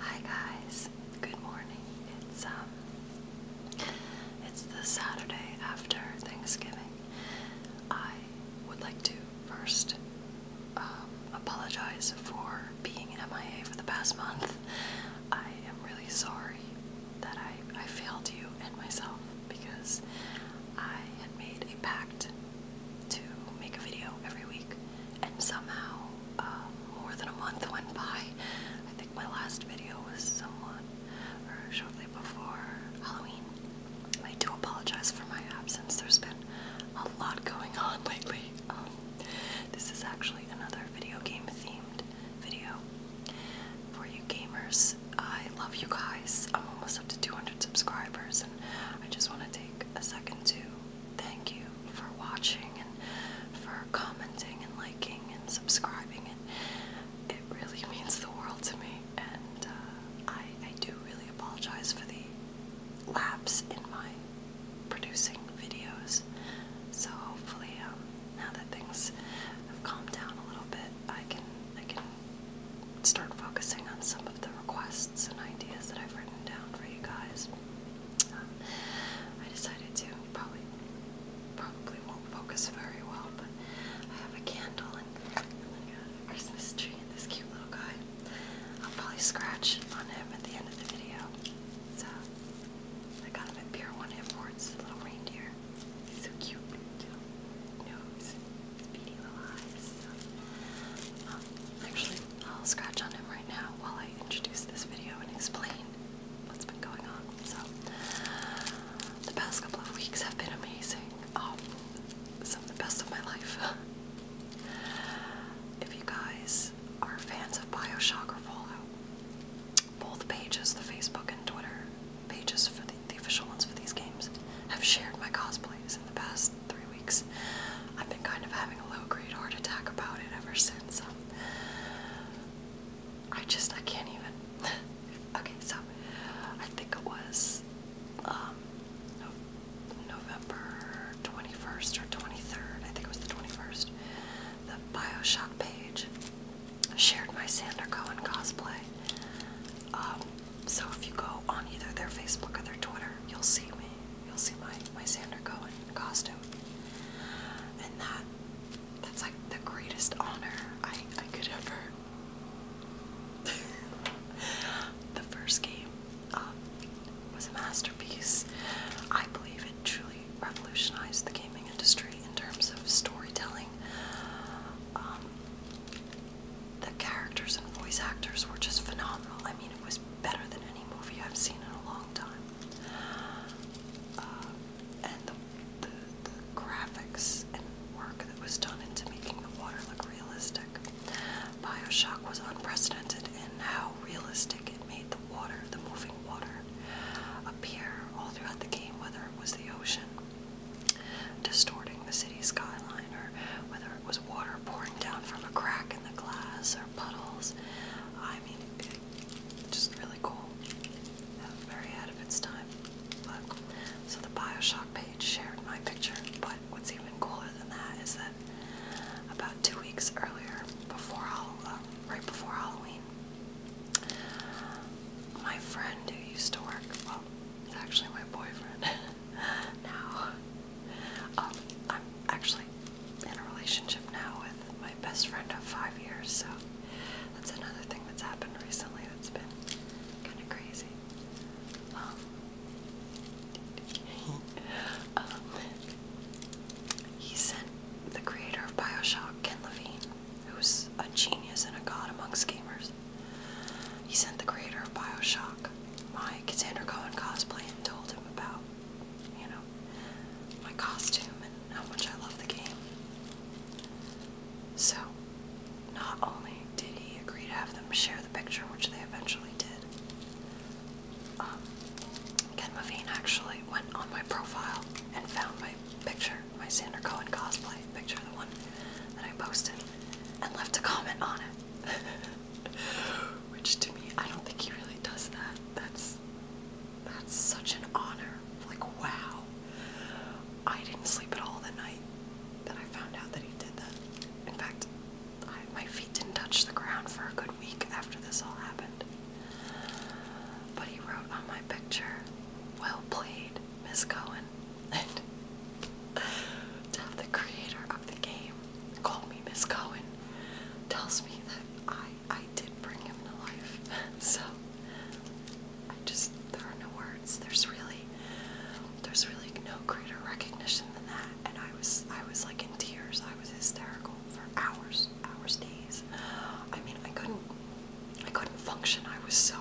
Hi guys, good morning. It's um, it's the Saturday after Thanksgiving. I would like to first um, apologize for being MIA for the past month. I am really sorry that I I failed you and myself because I had made a pact to make a video every week, and somehow um, more than a month went by. I think my last video was somewhat or shortly before Halloween. I do apologize for my absence. There's been a lot going on lately. Um, this is actually another video game themed video for you gamers. I love you guys. I'm almost up to 200 subscribers, and I just want to take a second to thank you for watching and for commenting and liking and subscribing. And it really means the world to me. And uh, I, I do really apologize for the lapse in my producing videos. So hopefully, um, now that things have calmed down a little bit, I can I can start focusing on some of of the requests and ideas that I've written down for you guys. Um, I decided to probably probably won't focus very well, but I have a candle and a Christmas tree and this cute little guy. I'll probably scratch on him at the end of the video. So I got him at Pier One Imports, a little reindeer. He's so cute, little nose, beady little eyes. Um, actually, I'll scratch on him right now while I introduce this video and explain what's been going on. So, the past couple of weeks have been amazing. Um, some of the best of my life. if you guys are fans of Bioshock or Fallout, both pages, the Facebook and Twitter pages for the, the official ones for these games, have shared my cosplays in the past three weeks. I've been kind of having a low-grade heart attack about it ever since. I just, I can't even. okay, so I think it was um, November 21st or 23rd, I think it was the 21st, the Bioshock page shared my Sander Cohen cosplay. Um, so if you go on either their Facebook or their Twitter, you'll see me. You'll see my my Sandra Cohen costume, and that that's like the greatest honor I I could ever. the first game um, was a masterpiece. I believe it truly revolutionized the gaming industry in terms of storytelling. Um, the characters and voice actors were just phenomenal. I mean, it was better than any movie I've seen in a long time. Uh, and the, the graphics and work that was done into making the water look realistic. Bioshock was unprecedented in how realistic it made the water, the moving water, appear all throughout the game, whether it was the ocean distorting the city skyline or whether it was water pouring down from a crack in the glass or puddles. I mean, just really cool. Very ahead of its time. But, so the Bioshock page shared my picture, but what's even cooler than that is that about two weeks earlier, before uh, right before Halloween, my friend who used to work, well, actually my boyfriend, now. Um, I'm actually in a relationship now with my best friend of five years, so that's another thing that's happened recently that's been kind of crazy. Um, um, he sent the creator of Bioshock, Ken Levine, who's a genius and a god amongst gamers. He sent the creator of Bioshock my Cassandra Cohen cosplay and told him about, you know, my costume and how much I love the game. So, not only did he agree to have them share the picture, which they eventually did, um, Ken Levine actually went on my profile and found my picture, my Cassandra Cohen cosplay picture, the one that I posted, and left a comment on it. Which to me, I don't think he really does that. That's that's such an honor. Like wow. I didn't sleep at all that night that I found out that he did that. In fact, my feet didn't touch the ground for a good week after this all happened. But he wrote on my picture, "Well played, Miss Cohen." And to the creator of the game call me Miss Cohen tells me that I I did bring him to life. so I just there are no words. There's really there's really no greater recognition than that. And I was I was like in tears. I was hysterical for hours, hours, days. I mean I couldn't I couldn't function. I was so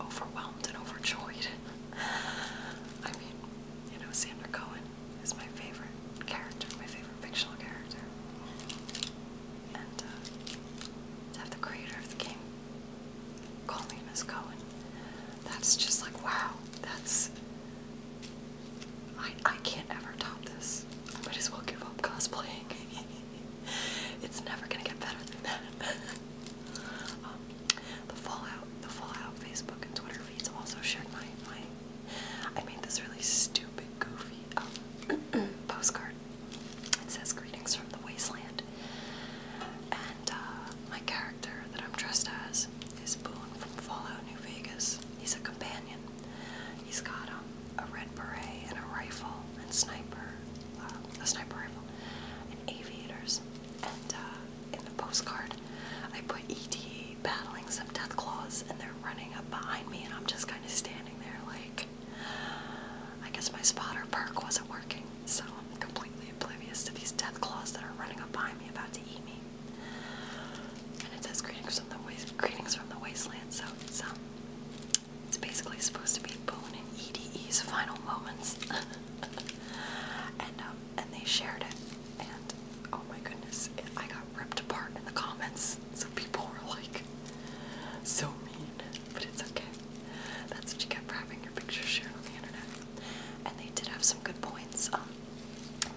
overwhelmed and overjoyed. I mean, you know, Sandra Cohen is my favorite character, my favorite fictional character. And uh, to have the creator of the game call me Miss that's just like, wow, that's. I, I can't ever top this. I might as well give up cosplaying. it's never gonna get better than that. Um, the Fallout, the Fallout Facebook and Twitter athletes also shared my my. I made this really stupid, goofy um, postcard. It says "Greetings from the Wasteland," and uh, my character that I'm dressed as is Boone from Fallout New Vegas. He's a companion. He's got um, a red beret and a rifle and sniper, uh, a sniper rifle, and aviators. And uh, in the postcard, I put ED battling some death claws and they're running up behind me and I'm just kind of standing there like I guess my spotter perk wasn't working, so I'm completely oblivious to these death claws that are running up behind me about to eat me. And it says greetings from the waste wasteland, so it's um, it's basically supposed to be Boone and EDE's final moments. and um and they shared it and oh my goodness, it, I got ripped apart in the comments. So people were like, so mean, but it's okay. That's what you get for having your pictures shared on the internet. And they did have some good points. Um,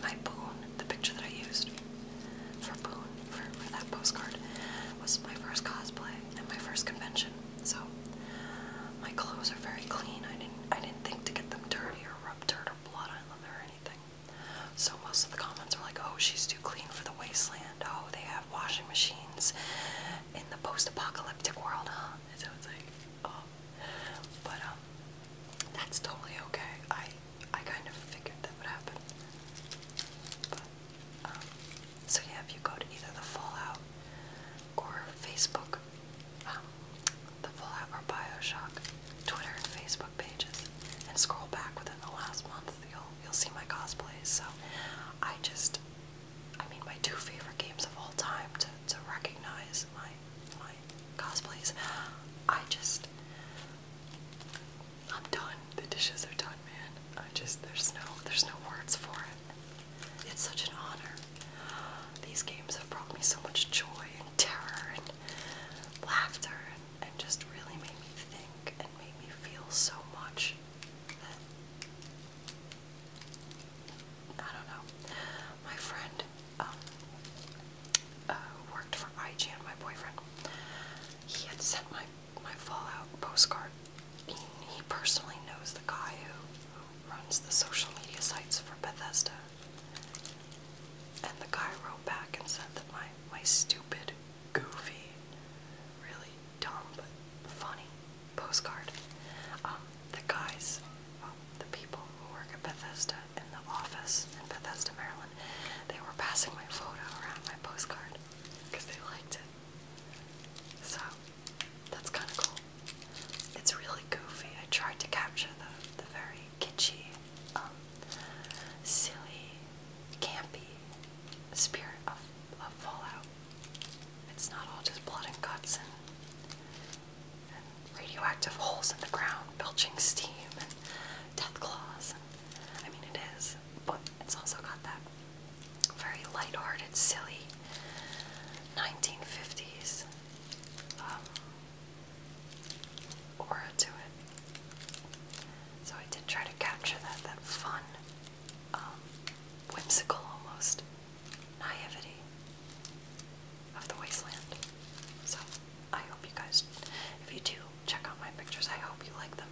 my boon, the picture that I used for boon for, for that postcard, was my first cosplay and my first convention. So my clothes are very clean. I didn't I didn't think to get them dirty or rub dirt or blood or anything. So most of the comments were like, oh, she's too clean for the wasteland. Oh, they have washing machines in the post-apocalyptic world, huh? so it's like, oh. But, um, that's totally okay. I, I kind of figured that would happen. But, um, so yeah, if you go to either the Fallout or Facebook um, the Fallout or Bioshock Twitter and Facebook pages and scroll back within the last month, you'll you'll see my cosplays. So I just, I mean, my two favorite games of all time to to recognize my my cosplays. I just, I'm done. The dishes are done, man. I just there's no there's no words for it. It's such an honor. These games have brought me so much joy and terror and laughter and, just really made me think and made me feel so much that I don't know. My friend um, uh, worked for IGN, my boyfriend, he had sent my, my Fallout postcard. He, personally knows the guy who runs the social media sites for Bethesda. And the guy wrote back and said that my, my stupid, goofy, really dumb but funny postcard. Um, the guys, the people who work at Bethesda in the office in Bethesda, Maryland, they were passing my photo around my postcard because they liked it. So that's kind of cool. It's really goofy. I tried to capture the the very kitschy, um, silly, campy spirit of, Fallout. It's not all just blood and guts and, radioactive holes in the ground belching steam and death claws. And, I mean, it is, but it's also got that very light-hearted, silly 1950s um, aura to it. So I did try to capture that, that fun, um, whimsical almost naivety of the wasteland. So I hope you guys, if you do check out my pictures, I hope you like them.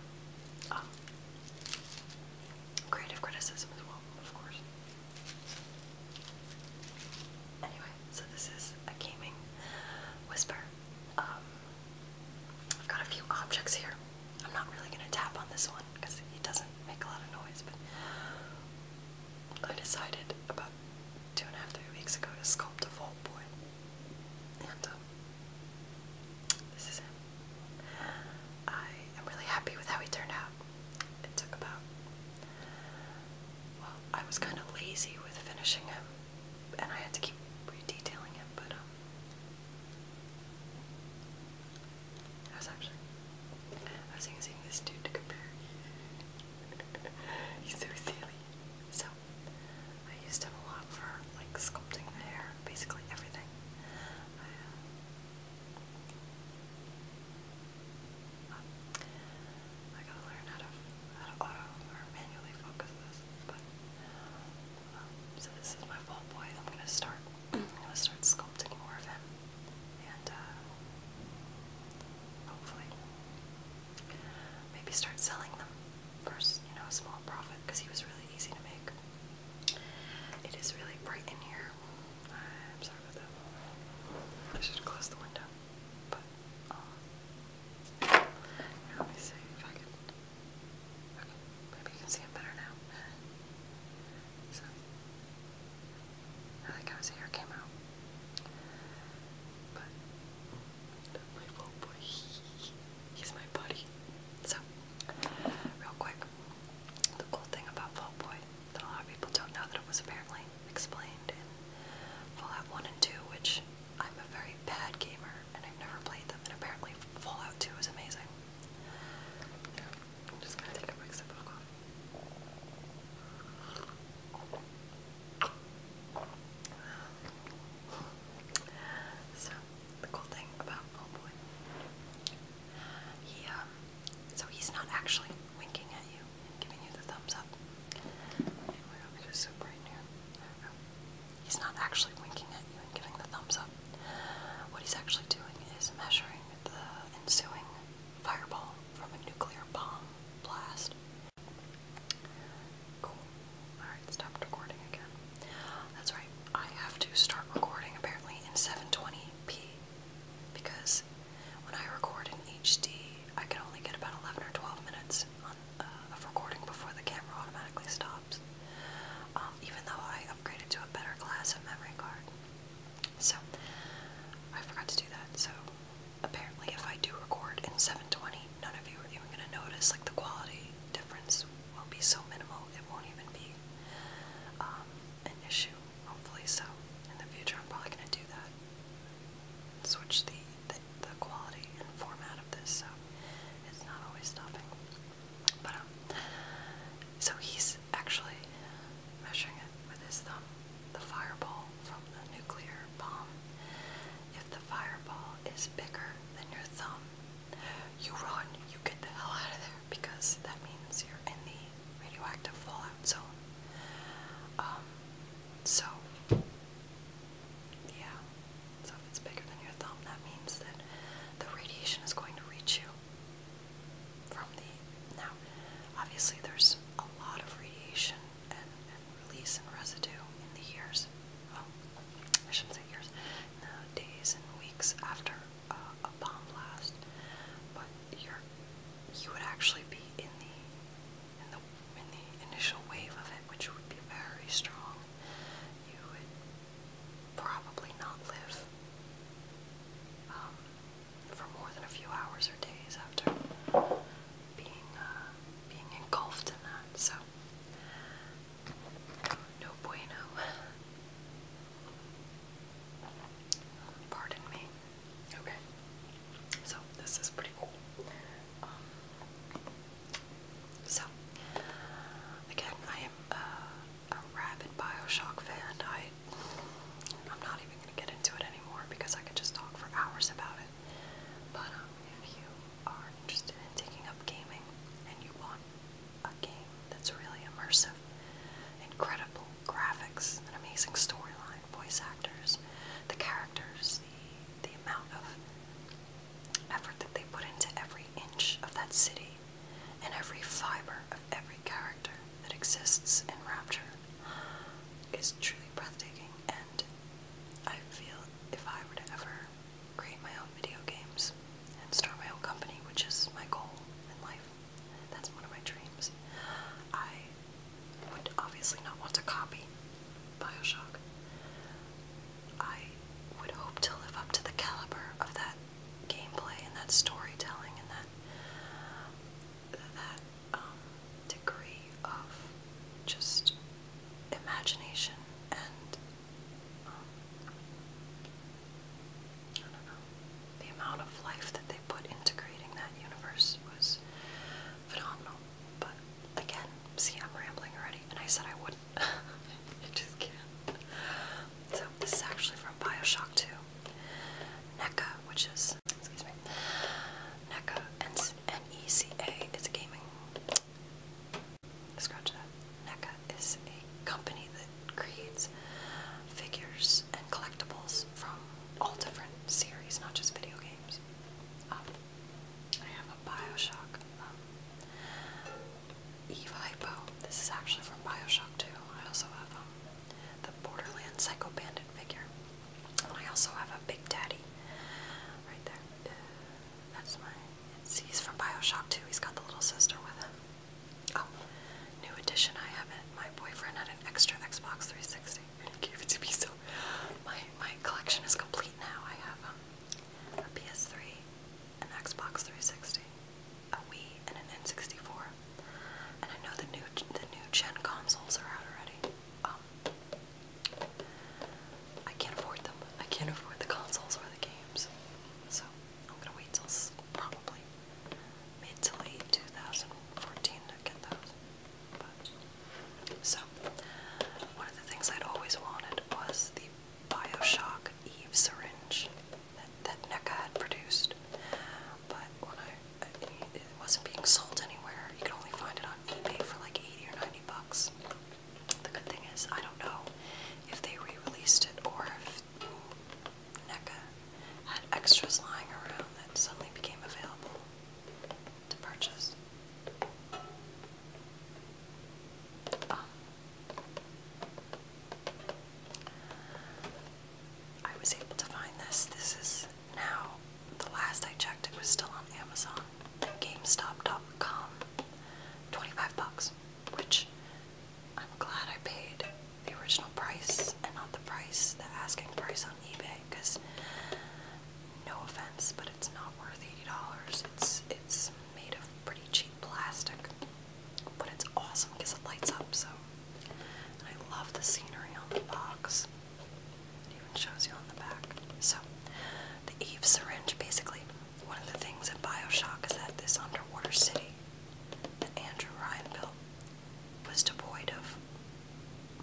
Um, creative criticism as well, of course. Anyway, so this is a gaming whisper. Um, I've got a few objects here. I'm not really going to tap on this one because it doesn't make a lot of noise, but I decided about two and a half, three weeks ago to sculpt a vault boy. And um, this is him. I am really happy with how he turned out. It took about well, I was kind of lazy with finishing him, and I had to keep redetailing him, but um, I was actually, I was using this dude to compare. He's so silly. So, I used him a lot for like sculpting the hair, basically everything. Uh, I gotta learn how to how to auto or manually focus this, but um, so this is my fall boy. I'm gonna start. I'm gonna start sculpting more of him, and uh, hopefully, maybe start selling them for you know a small profit because he was really easy to make. It is really bright in here. I'm sorry about that. I should close the window, but let me see if I can. Okay, maybe you can see it better now. So, I think I was here, came out. But, my little boy, he's my buddy. So, real quick, the cool thing about Fall Boy that a lot of people don't know that it was apparently explained Fallout 1 and 2, which I'm a very bad gamer and I've never played them, and apparently Fallout 2 is amazing. just gonna take a quick So, the cool thing about oh boy, he um, so he's not actually winking at you giving you the thumbs up. He's not actually winking at you and giving the thumbs up. What he's actually doing is measuring the ensuing fireball from a nuclear bomb blast. Cool. Alright, stop recording again. That's right, I have to start recording apparently in 720p because when I record in HD, I can only get about 11 or 12 minutes uh, of recording before the camera automatically stops, um, even though I upgraded to a better class of memory card. So, I forgot to do that. So, apparently, if I do record in 720, none of you are even going to notice. Like, the quality difference will be so minimal, it won't even be um, an issue. Hopefully, so in the future, I'm probably going to do that switch the, the, the quality and format of this, so it's not always stopping. But, um, so he's actually measuring it with his thumb, the fireball from the nuclear bomb. If the fireball is bigger than your thumb, you run, you get the hell out of there because that means you're in the radioactive fallout zone. Um, so, yeah. So if it's bigger than your thumb, that means that the radiation is going to reach you from the. Now, obviously, there's a lot of radiation and, release and residue in the years. Well, I shouldn't say years. the days and weeks after a bomb blast, but you're you would actually be in the in the, in the initial wave of it, which would be very strong, you would probably not live um, for more than a few hours or days after being, uh, being engulfed in that. So, no bueno. Pardon me. Okay. So, this is pretty cool. Um, so, again, I am a rabid Bioshock fan. I, I'm not even going to get into it anymore because I could just talk for hours about it. But um, if you are interested in taking up gaming and you want a game that's really immersive, incredible graphics, an amazing storyline, voice actors, the characters, the amount of effort that they put into every inch of that city and every fiber of every character that exists in Rapture is truly breathtaking. And I feel if I were to ever create my own video games and start my own company, which is my goal in life, that's one of my dreams, I would obviously not want to copy Bioshock. I would hope to live up to the caliber of that gameplay and that storytelling and that that um, degree of just imagination and um, I don't know the amount of life that they put into creating that universe was phenomenal. But again, see, I'm rambling already, and I said I wouldn't. I just can't. So, this is actually from Bioshock 2. NECA, which is, excuse me, NECA, N-E-C-A, is a gaming, scratch that, NECA is a company that creates figures and collectibles from all different series, not just video games. Um, I have a Bioshock um, Eve Hypo. This is actually from Bioshock 2. I also have um, the Borderlands Psycho Bandit figure. I also have a Big Daddy right there. that's my. It's, he's from Bioshock 2. He's got the little sister with him. Oh, new edition. I have it. My boyfriend had an extra Xbox 360 gave it to me. So my my collection is complete now. I have um, a PS3, an Xbox 360, a Wii, and an N64. And I know the new the new gen consoles are out already. Um, I can't afford them. I can't afford the consoles or the games. So I'm gonna wait till probably mid to late 2014 to get those so, one of the things I'd always wanted was the Bioshock Eve syringe that, NECA had produced. But it wasn't being sold anywhere. You could only find it on eBay for like 80 or 90 bucks. The good thing is, I don't know if they re-released it or if NECA had extras lying around that suddenly became available to purchase. Um, I was able to find this. This is now, the last I checked, it was still on Amazon, GameStop.com, 25 bucks, which I'm glad I paid the original price and not the price, the asking price on eBay, because no offense, but it's not worth $80. It's it's made of pretty cheap plastic, but it's awesome because it lights up. So, I love the scenery on the box. It even shows you on the back. So, the Eve syringe. Basically, one of the things that Bioshock is that this underwater city that Andrew Ryan built was devoid of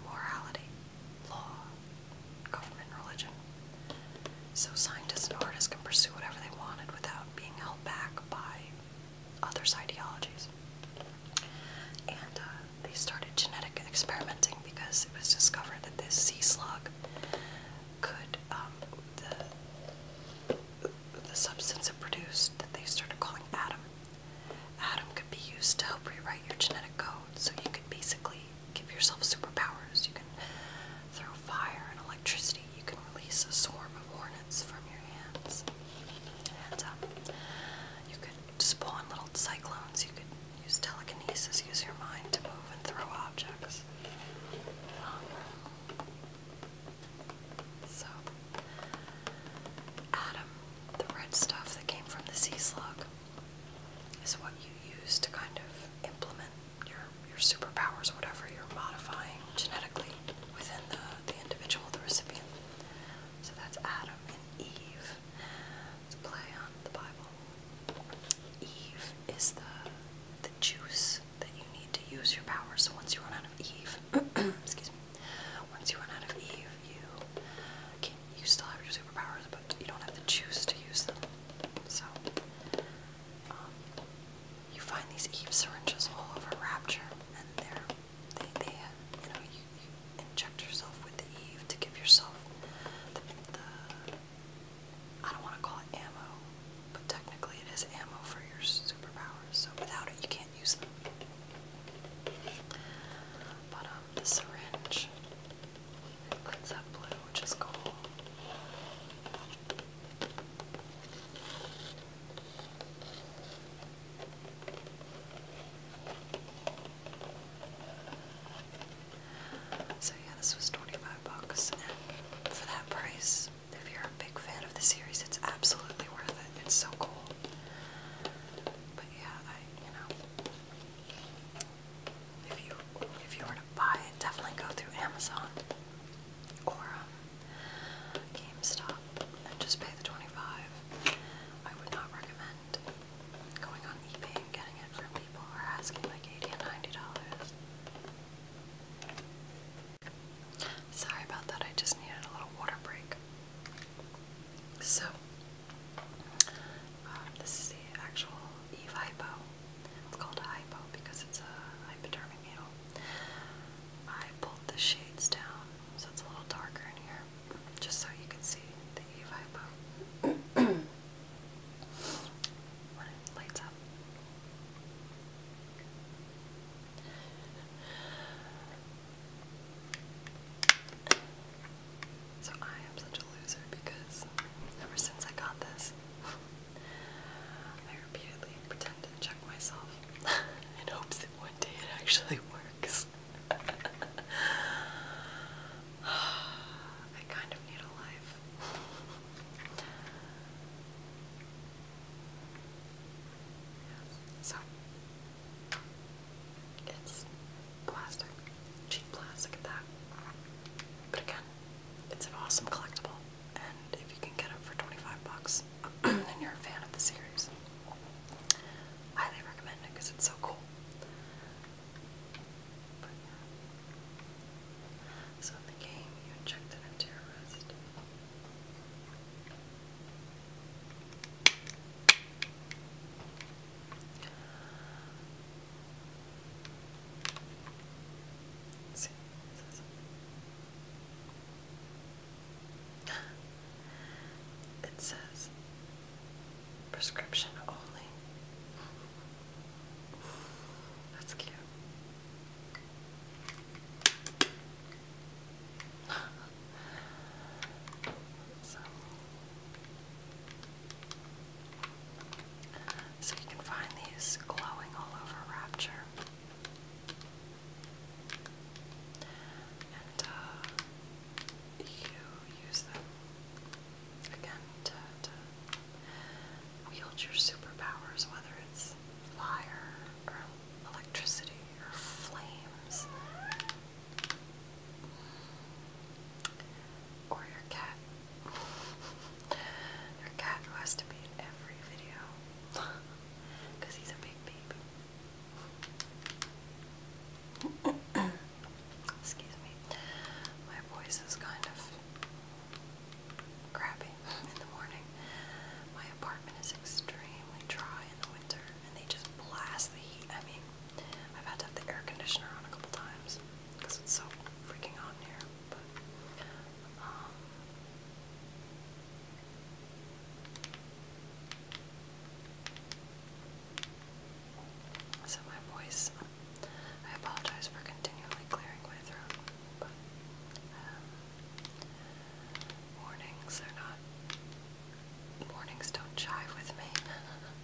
morality law, government, religion. So scientists and artists can pursue whatever they wanted without being held back by others' ideologies. And uh, they started genetic experimenting because it was discovered that this sea slug could, um, the, substance it produced that they started calling Adam. Adam could be used to help rewrite your genetic code. So you could basically give yourself superpowers. You can throw fire and electricity. You can release a swarm of hornets from your hands. And um, you could spawn little cyclones. You could use telekinesis, use your mind to move and throw objects. Um, so, Adam, the red stuff that came from the sea slug, is what you use to kind of implement your your superpowers, whatever you're modifying genetically within the, the individual, the recipient. So that's Adam and Eve. It's a play on the Bible. Eve is the the juice that you need to use your power. So once you run out of Eve, excuse me, once you run out of Eve, you you still have your superpowers, but you don't have to choose to use them. So, um, you find these Eve syringes all over Rapture, and they're, they, they, uh, you know, you, you inject yourself with the Eve to give yourself the, the I don't want to call it ammo, but technically it is ammo for your superpowers, so without it you can't use them. But um, the syringe so yeah, this was 25 bucks, for that price, if you're a big fan of the series, it's absolutely worth it. It's so cool. But yeah, you know, if you if you were to buy it, definitely go through Amazon or um, GameStop and just pay the 25 I would not recommend going on eBay and getting it from people who are asking like 80 and $90. Sorry about that, I just needed a little water break. So, um, this is the actual Eve hypo. It's called a hypo because it's a hypodermic needle. I pulled the shades down so it's a little darker in here, just so you can see the Eve hypo when it lights up. So I am such a loser because ever since I got this, I repeatedly pretend to check myself in hopes that one day it actually works. I kind of need a life. So it's plastic, cheap plastic at that. But again, it's an awesome collectible, and if you can get it for 25 bucks, then you're a fan of the series. Highly recommend it because it's so cool. So in the game, you inject it into it says prescription only. That's cute. so so you can find these glowing all over Rapture. And uh, you use them again to wield your superpowers, whether it's fire or electricity or flames. Or your cat your cat has to be in every video. Because he's a big baby. Excuse me. My voice is kind of crappy in the morning. My apartment is extremely dry in the winter and they just blast the heat. I mean, I've had to have the air conditioner on a couple times because it's so freaking hot in here. Um, my voice, I apologize for continually clearing my throat, but um, are not, warnings don't jive with me.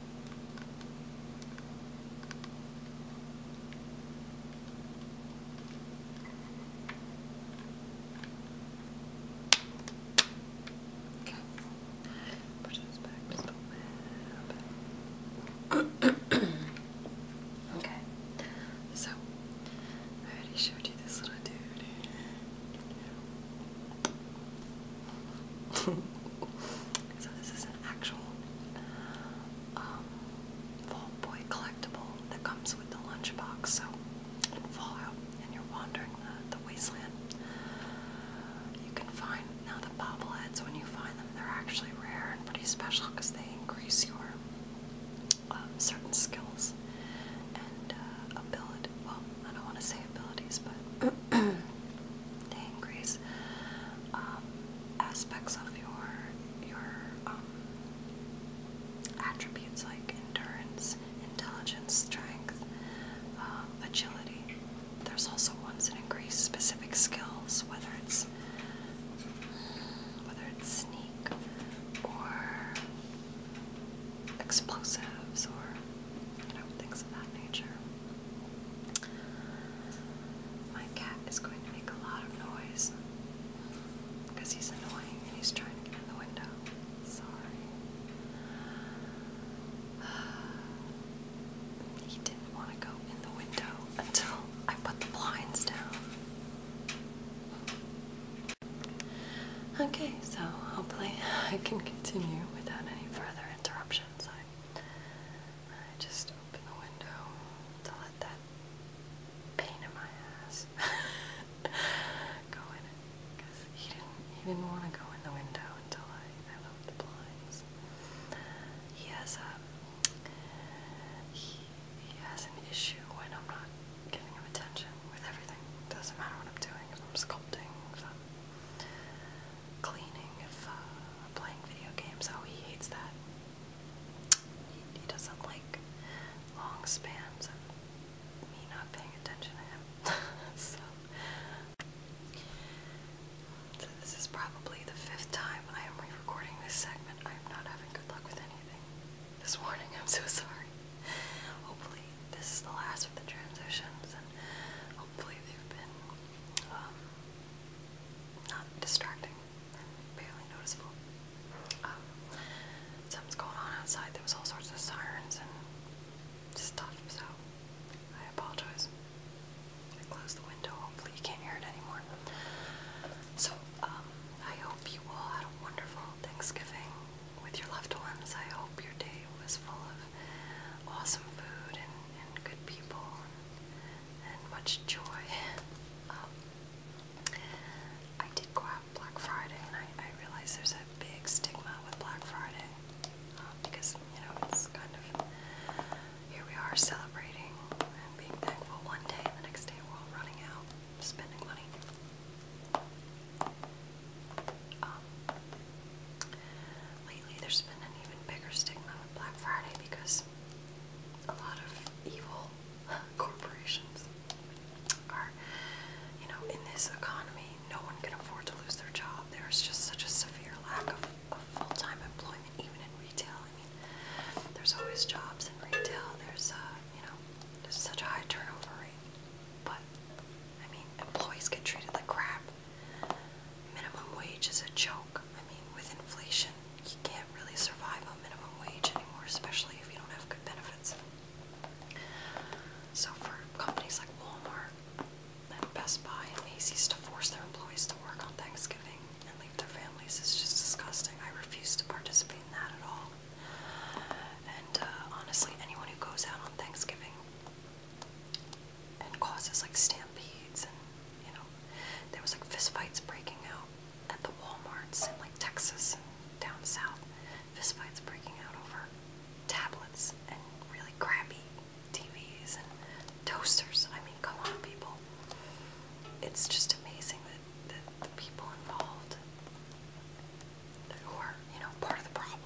Push this back a little bit. okay. So I already showed you this little dude. so this is an actual um, Fall Boy collectible that comes with the lunchbox. So in Fallout, and you're wandering the, the wasteland, you can find now the bobbleheads. When you find them, they're actually rare and pretty special because they increase your um, certain skills and uh, ability. Well, I don't want to say abilities, but they increase um, aspects of your your um, attributes like endurance, intelligence, strength, um, agility. There's also ones that increase specific skills, whether it's whether it's sneak or explosives or things of that nature. My cat is going to make a lot of noise because he's annoying and he's trying to get in the window. Sorry. He didn't want to go in the window until I put the blinds down. Okay, so hopefully I can continue without any further interruptions. I just open the window to let that pain in my ass go in Because he didn't, he didn't want to go in the window until I, I left the blinds. He has a, um, he, he has an issue when I'm not giving him attention with everything. Doesn't matter what I'm doing, if I'm sculpting, cleaning if uh, playing video games, how oh, he hates that. He, he doesn't like long spans of me not paying attention to him. so. this is probably the fifth time I am re recording this segment. I am not having good luck with anything this morning. I'm so sorry. Hopefully, this is the last of the transitions, and hopefully, they've been um, not distracting barely noticeable. Um, something's going on outside. There was all sorts of sirens and stuff, so I apologize. I closed the window. Hopefully you can't hear it anymore. So, um, I hope you all had a wonderful Thanksgiving with your loved ones. I hope your day was full of awesome food and, good people and, much joy. Um, I did go out Black Friday and I, realize there's a big stigma with Black Friday um, because, you know, it's kind of here we are celebrating and being thankful one day and the next day we're all running out, spending money. Um, Lately, there's been an even bigger stigma with Black Friday because a lot of evil corporations are, you know, in this economy, no one can afford to lose their job. There's just such a severe lack of, full time employment, even in retail. I mean, there's always jobs in retail, there's, uh, you know, there's such a high turnover rate. But, I mean, employees get treated like crap. Minimum wage is a joke. I mean, with inflation, you can't really survive on minimum wage anymore, especially if you don't have good benefits. So, for companies like Walmart and Best Buy and Macy's to force their employees to work on Thanksgiving and leave their families is just disgusting. I refuse to participate in that at all. And uh, honestly, anyone who goes out on Thanksgiving and causes like stampedes and you know there was like fistfights breaking out at the Walmarts in like Texas and down south. Fistfights breaking out over tablets and really crappy TVs and toasters. I mean, come on, people. It's just amazing that, that the people involved who are, you know, part of the problem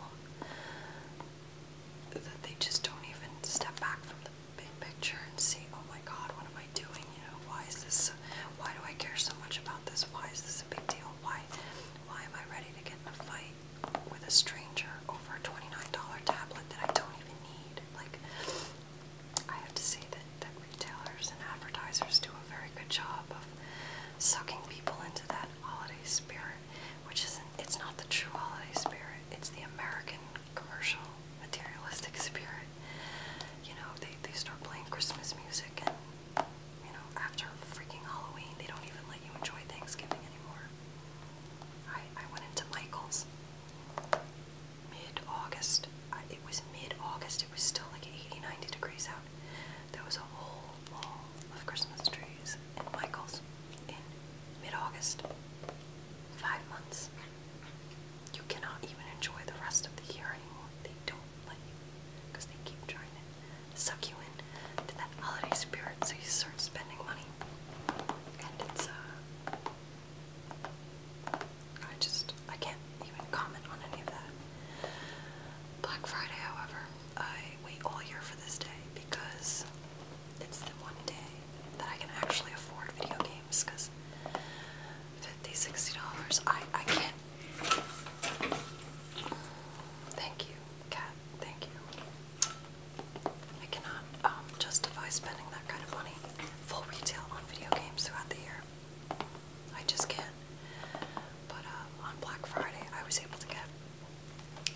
that they just don't even step back from the big picture and see, oh my god, what am I doing? You know, why is this, why do I care so much about this? Why is this a big deal? Why, why am I ready to get in a fight with a stranger over a $29 tablet that I don't even need? Like, I have to say that, that retailers and advertisers do a very good job of sucking people into that holiday spirit, which isn't, it's not the true holiday spirit, it's the American commercial, materialistic spirit. You know, they, they start playing Christmas music and, you know, after freaking Halloween, they don't even let you enjoy Thanksgiving anymore. I, I went into Michael's mid-August. It was mid-August. It was still like 80, 90 degrees out. There was a whole wall of Christmas trees in Michael's in mid August. Five months. You cannot even enjoy the rest of the year anymore. They don't let you because they keep trying to suck you in to that holiday spirit so you start spending money. And it's, uh, I just, I can't even comment on any of that. Black Friday, however, I wait all year for this day because it's the one day that I can actually afford video games because 50 60 dollars I I can't thank you cat thank you I cannot um, justify spending that kind of money full retail on video games throughout the year I just can't but um, on Black Friday I was able to get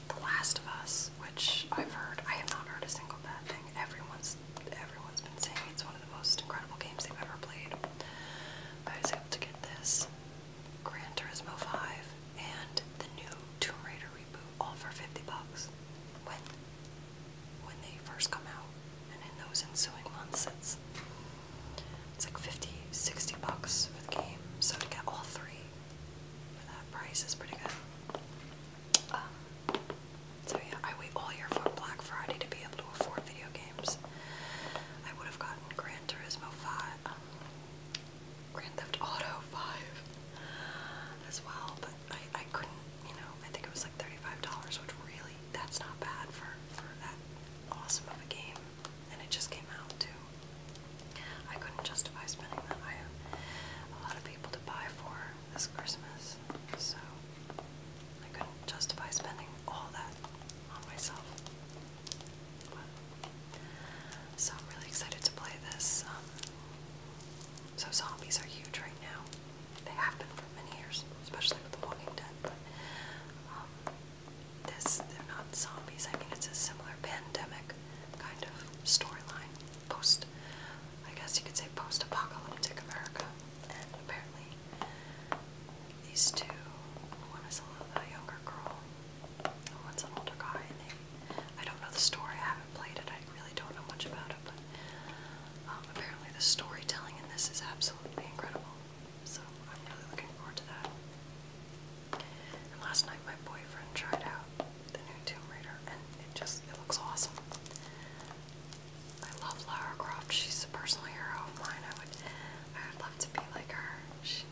the Last of Us, which I've heard, I have not heard a single bad thing. Everyone's everyone's been saying it's one of the most incredible games they've ever played. I was able to get this, Grand Turismo 5, and the new Tomb Raider reboot, all for 50 bucks. When when they first come out, and in those ensuing months, it's it's like 50, 60 bucks for the game. So to get all three for that price is pretty good. Um, so yeah, I wait all year for Black Friday to be able to afford video games. I would have gotten Gran Turismo 5, um, Grand Theft Auto 5 as well, but I, I couldn't, you know, I think it was like $35, which really, that's not bad for, for that awesome of a game. And it just came out too. I couldn't justify spending that. I have a lot of people to buy for this Christmas, so I couldn't justify spending all that on myself. so I'm really excited to play this. Um, so zombies are huge right now. They have been for many years, especially with The Walking Dead. But um, this, they're not zombies. I mean, it's a similar pandemic kind of storyline post, I guess you could say post-apocalyptic America, and apparently these two, one is a, younger girl, and one's an older guy, and they, I don't know the story, I haven't played it, I really don't know much about it, but um, apparently the storytelling in this is absolutely incredible, so I'm really looking forward to that. And last night my boyfriend tried out the new Tomb Raider, and it just it looks awesome. I love Lara Croft. She's a personal hero of mine. I would I would love to be like her. She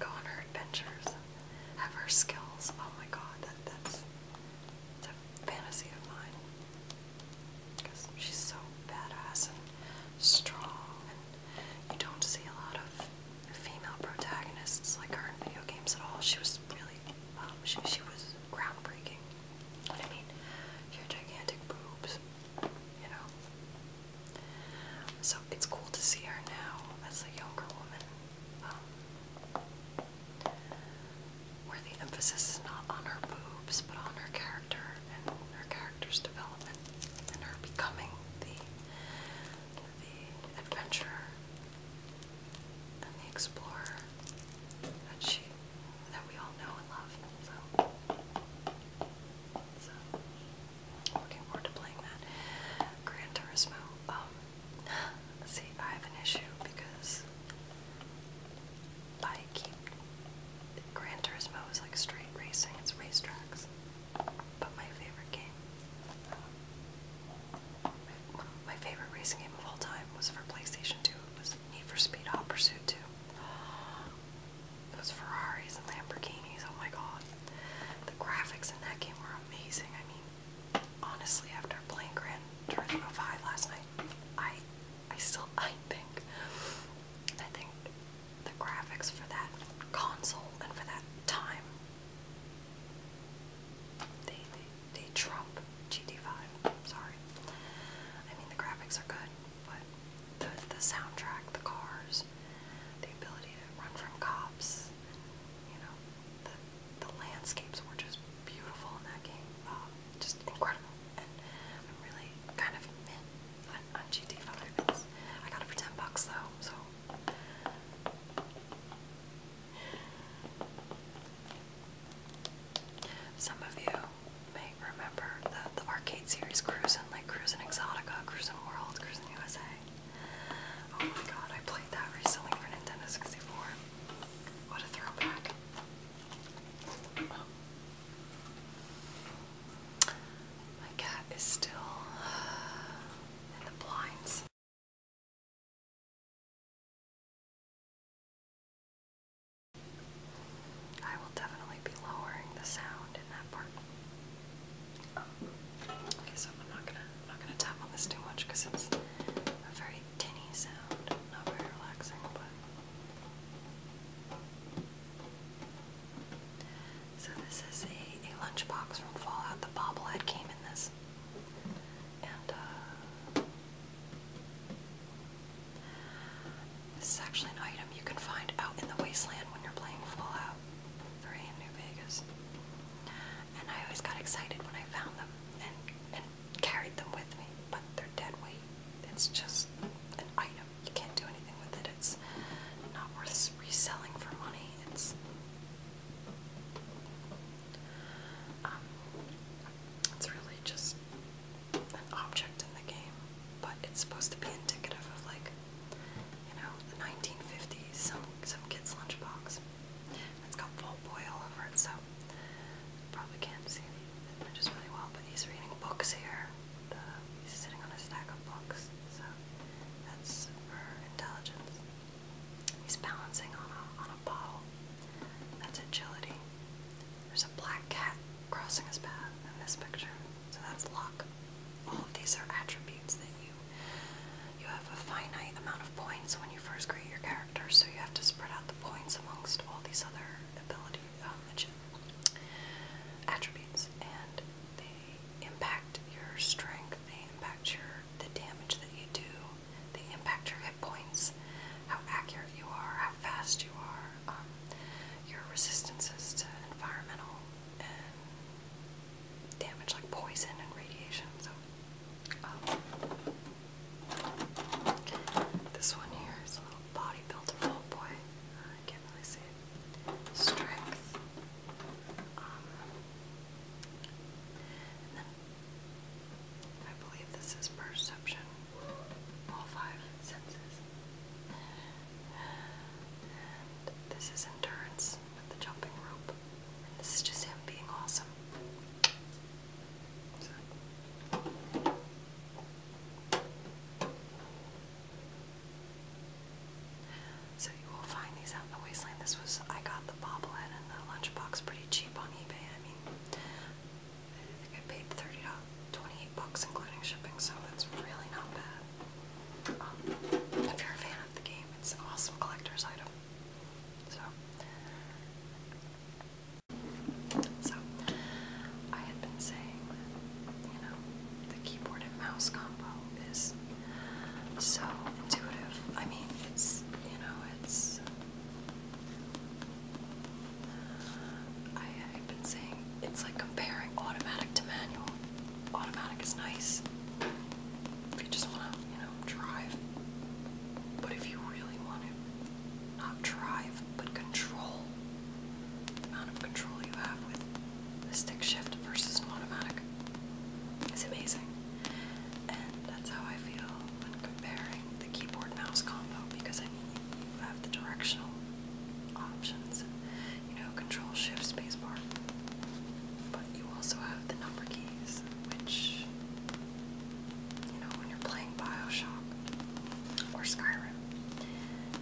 go on her adventures, have her skills. Oh my God, that that's it's a fantasy of mine. Because she's so badass and strong, and you don't see a lot of female protagonists like her in video games at all. She was really um, she, was groundbreaking. I mean, your gigantic boobs, you know. So it's cool to see her now as a younger woman, um, where the emphasis is not on her boobs, but on her character and her character's development and her becoming the the adventurer and the explorer that she that we all know and love. So, looking forward to playing that. Gran Turismo. Um, see, I have an issue because I keep Gran Turismo is like straight racing, it's racetracks. But my favorite game um, my, favorite racing game of all time was for PlayStation 2. It was Need for Speed Hot Pursuit 2. It was Ferraris and Lamborghinis. Oh my god. The graphics in that game were amazing. I mean, honestly, after playing Grand Turismo 5 last night, I I still I think I think the graphics for that console and for that time they, they, they trump GT5. Sorry. I mean, the graphics are good, but the, the soundtrack, the cars, the ability to run from cops, you know, the, the landscapes were just beautiful in that game. Uh, just incredible. And really kind of mint on, GT5. I got it for 10 bucks though, so some of you may remember the, the arcade series cruising, like cruising Exotica, cruising World, cruising USA. Oh my god, I played that recently for Nintendo 64. What a throwback. My cat is still in the blinds. I will definitely be lowering the sound in that part. Okay, so I'm not gonna I'm not gonna tap on this too much because it's a very tinny sound, not very relaxing, but so this is a, a lunchbox from Fallout. The bobblehead came in this is. And uh, this is actually an item you can find out in the wasteland when you're playing Fallout 3 in New Vegas. And I always got excited when I found them and, and carried them with me, but they're dead weight. It's just an item. You can't do anything with it. It's not worth reselling for money. It's um, it's really just an object in the game, but it's supposed to be indicative of like, you know, the 1950s, some some kid's lunchbox. It's got Vault Boy all over it, so probably can't see the images really well, but he's reading books here. The, he's sitting on a stack of books, so that's for intelligence. He's balancing on a, on a bottle. That's agility. There's a black cat crossing his path in this picture, so that's luck. All of these are attributes that you you have a finite amount of points when you first create your character, so you have to spread out the points amongst all these other ability um, attributes, and they impact your strength. They impact your the damage that you do, the impact your hit points, how accurate you are, how fast you are, um, your resistances to environmental damage like poison and radiation. So, um, this one here is a little bodybuilder old boy. Uh, I can't really see it. Strength. Um, I believe this is perception. All five senses. this is endurance with the jumping rope. this is just him being awesome. So. So you will find these out in the wasteland. This was I got the bobblehead and the lunchbox pretty cheap on eBay. I mean, I think I paid thirty twenty-eight bucks including shipping, so that's really not bad. Um, if you're a fan of the game, it's an awesome collector's item. So, so I had been saying you know the keyboard and mouse combo is so intuitive. I mean, it's you know it's I, have been saying it's like comparing automatic to manual. Automatic is nice if you just want to, you know, drive. But if you really want to not drive, but control the amount of control you have with the stick shift versus an automatic, is amazing. And that's how I feel when comparing the keyboard mouse combo because I mean you have the directional options you know control shift space bar but you also have the number keys which you know when you're playing Bioshock or Skyrim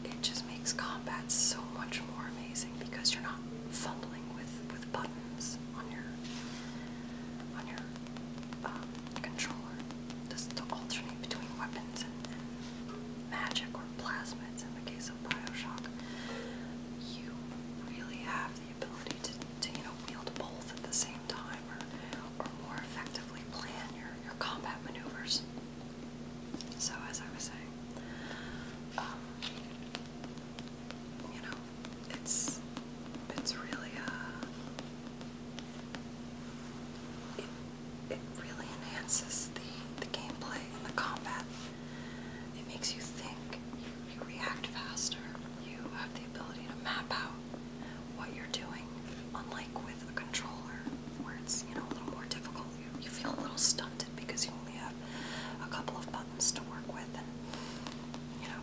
it just makes combat so much more amazing because you're not fumbling with with buttons on your on your um, controller just to alternate between weapons and, magic or plasmids in the case of Bioshock. You really have the ability to, to you know, wield both at the same time or, or more effectively plan your, your combat maneuvers. So, as I was saying, um, you know, it's it's really uh it it really enhances the the gameplay and the combat. It makes you think, you react faster, you have the ability to map out what you're doing, unlike with a controller where it's, you know, a little more difficult. You, feel a little stunted because you only have a couple of buttons to work with and you know,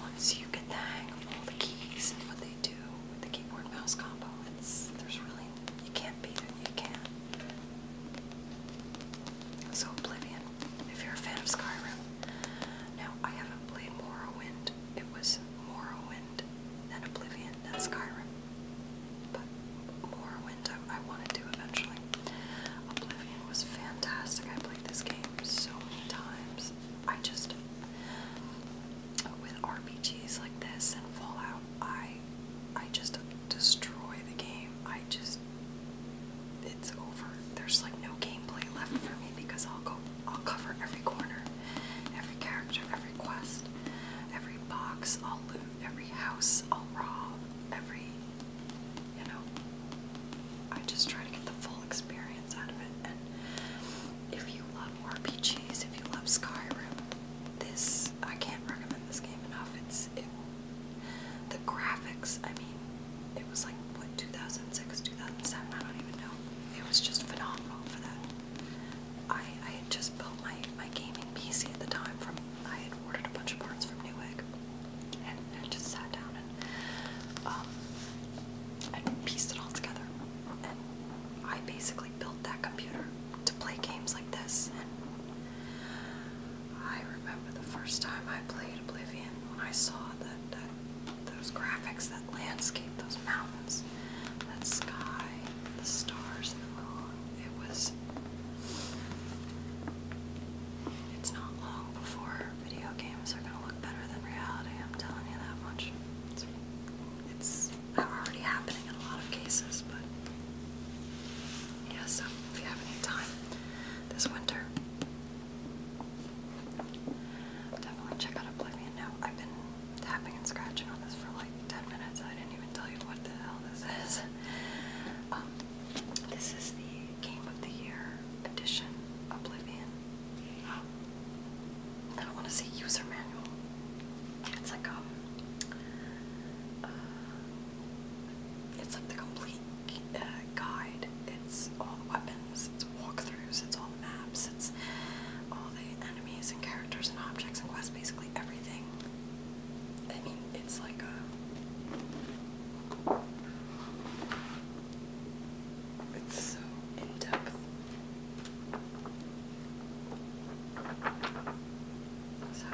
once you get the hang of all the keys and what they do with the keyboard mouse combo, it's there's really you can't beat it. You can't. So Oblivion, if you're a fan of Skyrim. Now I haven't played Morrowind. It was Morrowind, then Oblivion, then Skyrim. But Morrowind, I, I wanted to eventually. Oblivion was fantastic. I played this game so many times. I just with RPGs like this and Fallout, I I just destroy the game. I just it's over. There's like no gameplay left for me because I'll go I'll cover every corner, every character, every quest, every box, I'll loot, every house, I'll rob, every you know. I just try to get the full experience experience out of it. And if you love RPGs, if you love Skyrim, this I can't recommend this game enough. It's it, the graphics. I mean, it was like what 2006, 2007. I don't even know. It was just phenomenal for that. I I had just built my my gaming PC at the time. From I had ordered a bunch of parts from Newegg, and, and just sat down um, I pieced it all together. And I basically built that computer to play games like this. And I remember the first time I played Oblivion when I saw that, those graphics, that landscape, those mountains, that sky, the stars, It was. It's not long before video games are gonna look better than reality. I'm telling you that much. It's, already happening in a lot of cases, but yeah. So if you have any time this winter, definitely check out Oblivion. Now I've been tapping and scratching on this for like 10 minutes. I didn't even tell you what the hell this is. Um, this is the Game of the Year edition Oblivion. Um, I don't want to say user manual. It's like um, uh, it's like complete uh, guide. It's all the weapons. It's walkthroughs. It's all the maps. It's all the enemies and characters and objects and quests. Basically everything. I mean, it's like a. It's so in depth. So,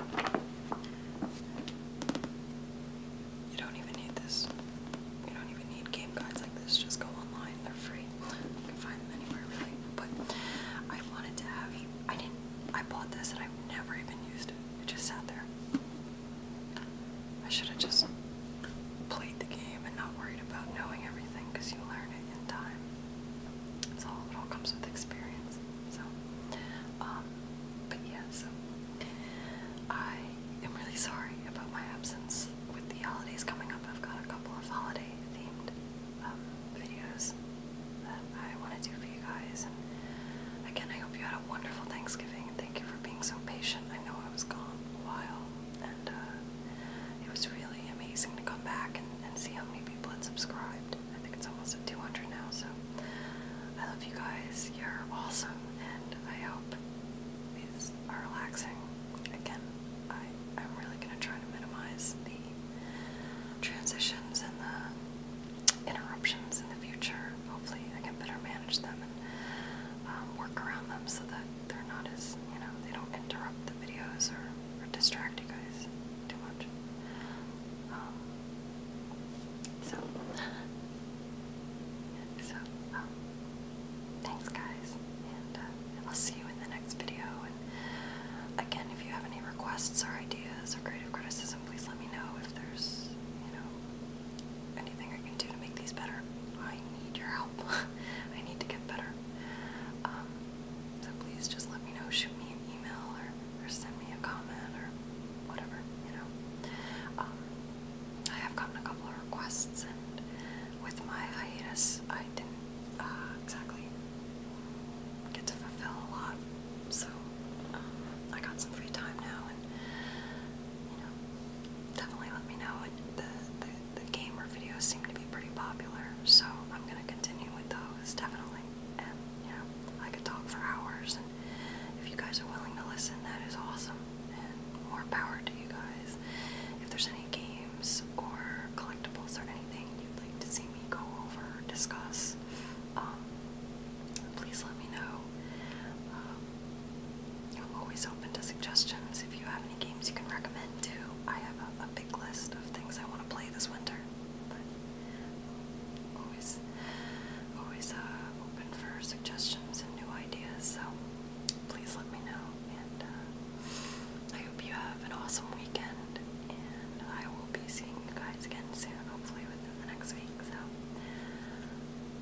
you don't even need this. You don't even need game guides like this. Just go online, they're free. You can find them anywhere, really. But I wanted to have you. I didn't. I bought this and i never even used it. It just sat there. I should have just played the game and not worried about knowing everything because you learn it in time. It's all it all comes with experience. So, um, but yeah, I am really sorry about my absence. With the holidays coming up, I've got a couple of holiday-themed um, videos that I want to do for you guys. And again, I hope you had a wonderful Thanksgiving. Thank you for being so patient. I know I was gone a while and uh, it was really amazing to come back and, and see how many people had subscribed. I think it's almost at 200 now, so I love you guys. You're awesome, and I hope these are relaxing. Again, I, I'm really going to try to minimize the transitions and the interruptions in the future. Hopefully, I can better manage them and um, work around them so that they're not as, you know, they don't interrupt the videos or, or distract you guys too much. Um, so, so, um, thanks guys, uh, and I'll see you in the next video, and again, if you have any requests or ideas or creative criticism, please let me know if there's, you know, anything I can do to make these better. I I need your help. I need to get better. Um, so please just let me know. Shoot me an email or, send me a comment or whatever, you know. Um, I have gotten a couple of requests, and with my hiatus, I didn't uh, exactly get to fulfill a lot. So um, I got some free time now, and you know, definitely let me know. And the the gamer videos seem to be pretty popular, so I'm gonna continue with those definitely. And you know, I could talk for hours, and if you guys are willing to listen, that is awesome. And more power to you guys. If there's any games or collectibles or anything you'd like to see me go over or discuss, um, please let me know. Um, I'm always open to suggestions if you have any games you can recommend too. I have a, big list of things I want to play this winter, but always, always uh, open for suggestions and new ideas. So please let me know, and uh, I hope you have an awesome weekend. And I will be seeing you guys again soon, hopefully within the next week. So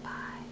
bye.